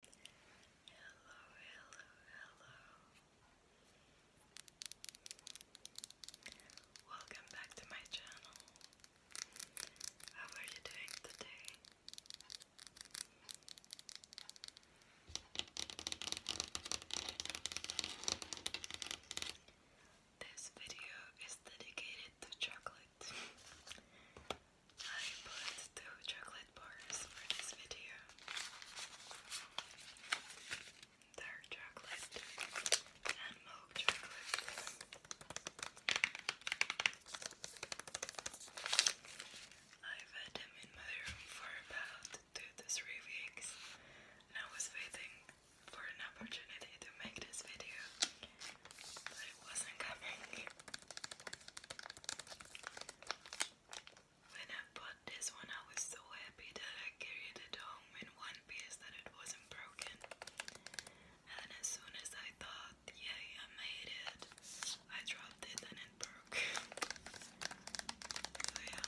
Hello, hello, hello. Welcome back to my channel. How are you doing today? This video is dedicated to chocolate. I put two chocolate bars for this video. Dark chocolate and milk chocolate. I've had them in my room for about two to three weeks, and I was waiting for an opportunity to make this video, but it wasn't coming. When I bought this one, I was so happy that I carried it home in one piece that it wasn't broken. And as soon as I thought, yay, I made it, I dropped it and it broke. so, yeah.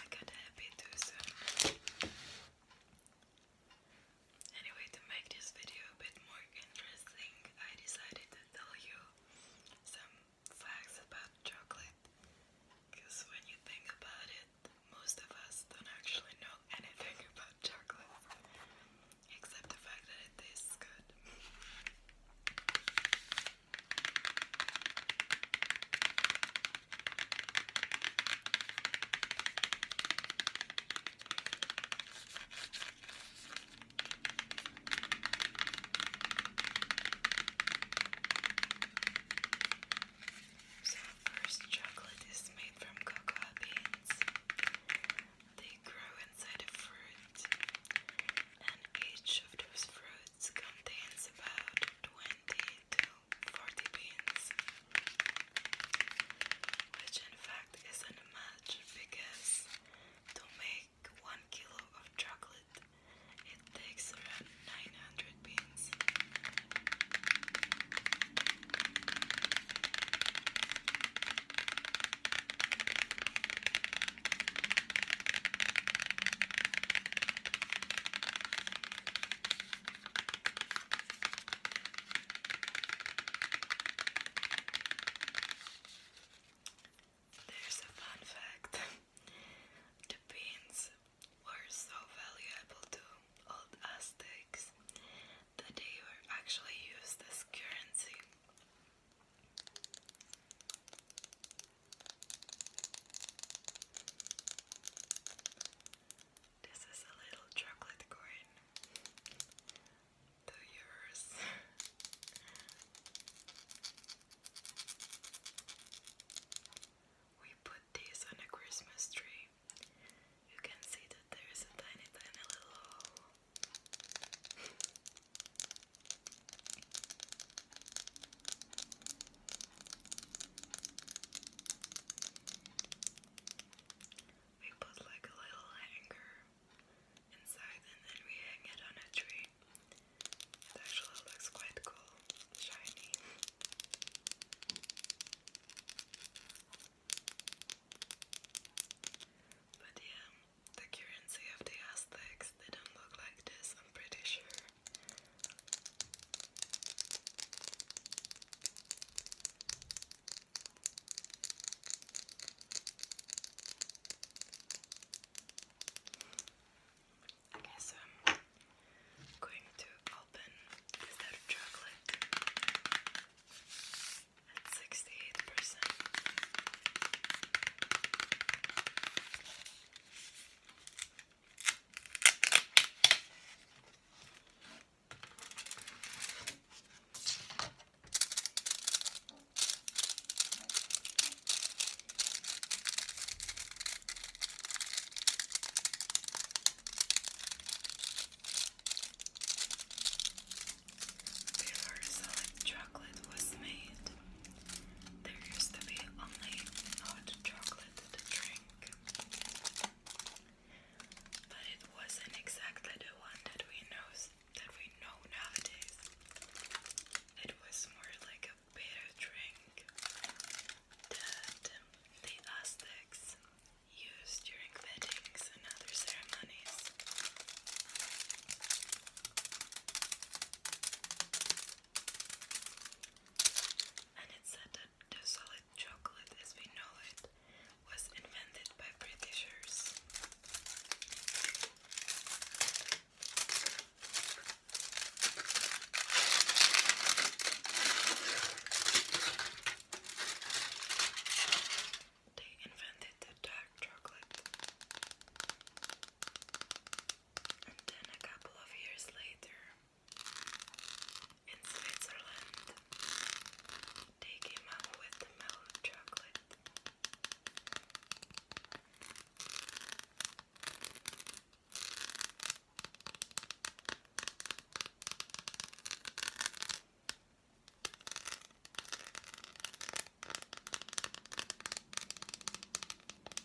I happy too soon. Anyway, to make this video a bit more interesting, I decided to tell you some facts about chocolate. Because when you think about it, most of us don't actually know anything about chocolate, except the fact that it tastes good. So, first chocolate is made from cocoa beans. They grow inside a fruit, and each of those fruits contains about 20 40 beans, which in fact isn't much because to make 1 kilo of chocolate it takes around 900 beans. There's a fun fact. the beans were so valuable to old Aztecs that they were actually used as currency. This is a little chocolate coin. Two euros. we put these on a Christmas tree. You can see that there is a tiny, tiny little We put like a little anchor inside and then we hang it on a tree. It actually looks quite cool, shiny. But yeah, the currency of the Aztecs didn't look like this, I'm pretty sure. Okay, so I'm going to open is that chocolate at 68%. Before solid chocolate was made, there used to be only hot chocolate to drink. But it wasn't exactly the one that we know that we know nowadays. It was more like a bitter drink that um, the Aztecs used during weddings and other ceremonies. And it said the solid chocolate as we know it was invented by Britishers. They invented the dark chocolate. And then a couple of years later, in Switzerland, they came up with the mellow chocolate. I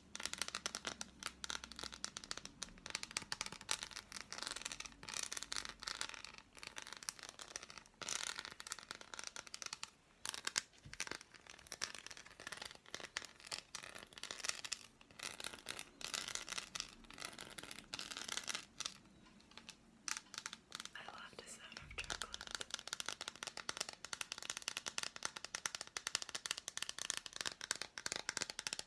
love the sound of chocolate.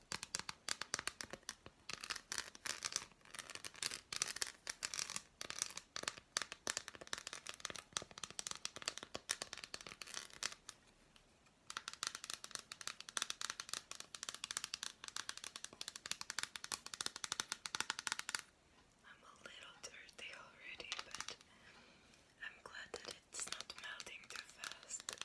I'm a little dirty already, but I'm glad that it's not melting too fast.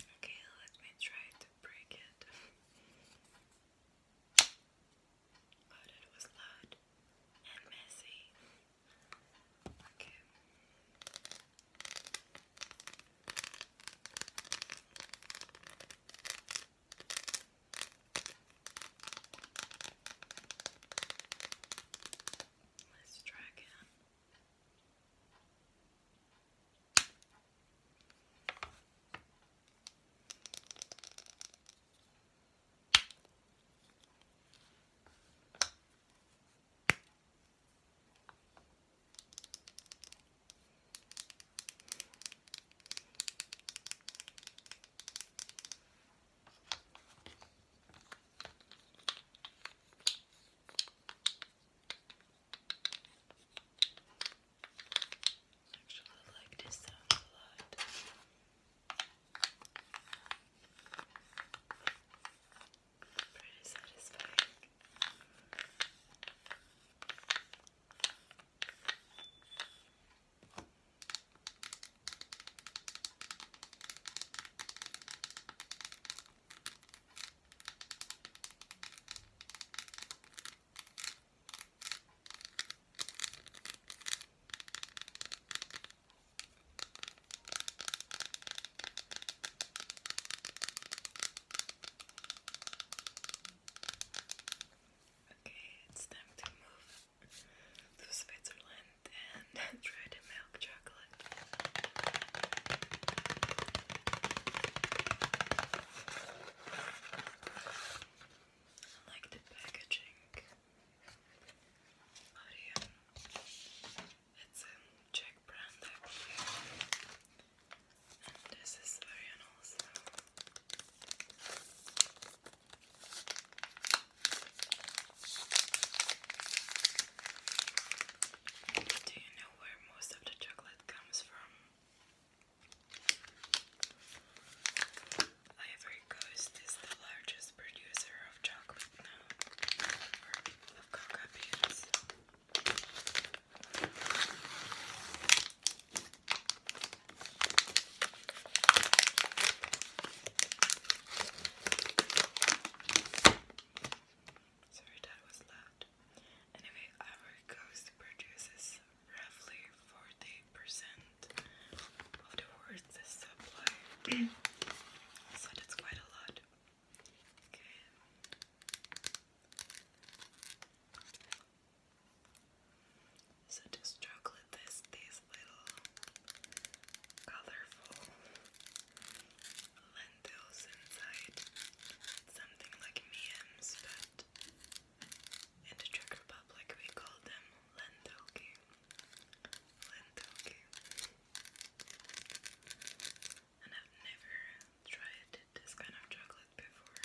Okay, let me try to break it. But it was loud and messy. Okay. Let's try again. Actually, I like this sound a lot. Pretty satisfying. Okay, it's time to move to Switzerland and try the milk chocolate. I like the packaging. Orion. It's a Czech brand, this is Orion also. Um, do you know where most of the chocolate comes from? Ivory Coast is the largest producer of chocolate now, or cocoa beans. Sorry, Dad was loud. Anyway, our coast produces roughly 40% of the world's supply. so that's quite a lot. Okay. So just chocolate this, these little colorful lentils inside. something like memes, but in the Czech Republic we call them lentilky. Lentilky. And I've never tried this kind of chocolate before.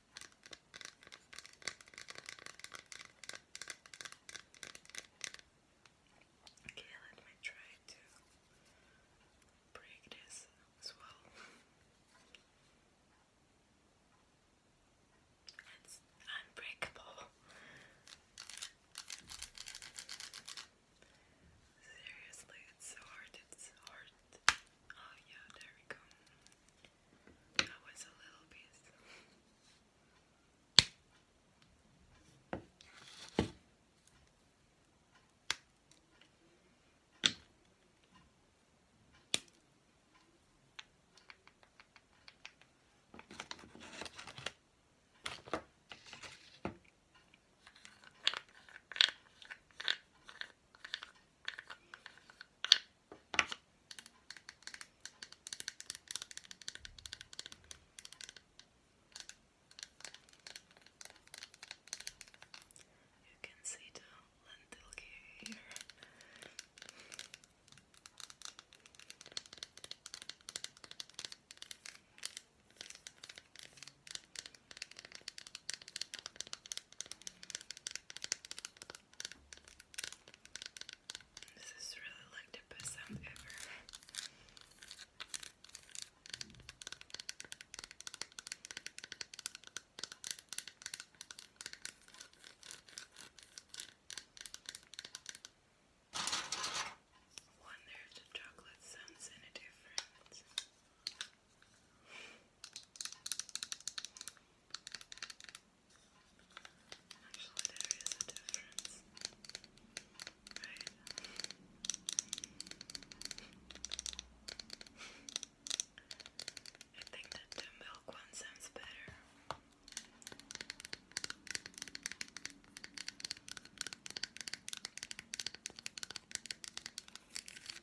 Okay, let me try to break this as well. It's unbreakable. Seriously, it's hard, it's hard. Oh yeah, there we go. That was a little piece. You can see the lentil here. This is really like the best ever. Wonder if the chocolate sounds any different. Actually, there is I think that the milk one sounds better.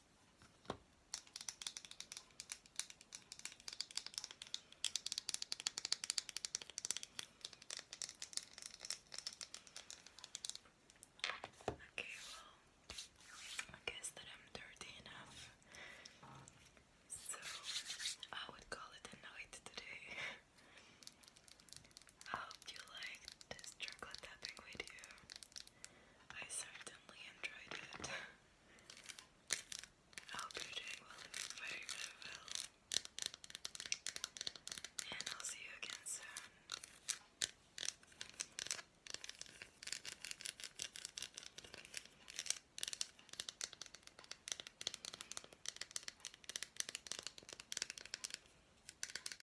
Okay, well, I guess that I'm dirty enough, so I would call it a night today. I hope you liked this chocolate tapping video. I certainly enjoyed it. I hope you're doing well, very, very well. And I'll see you again soon.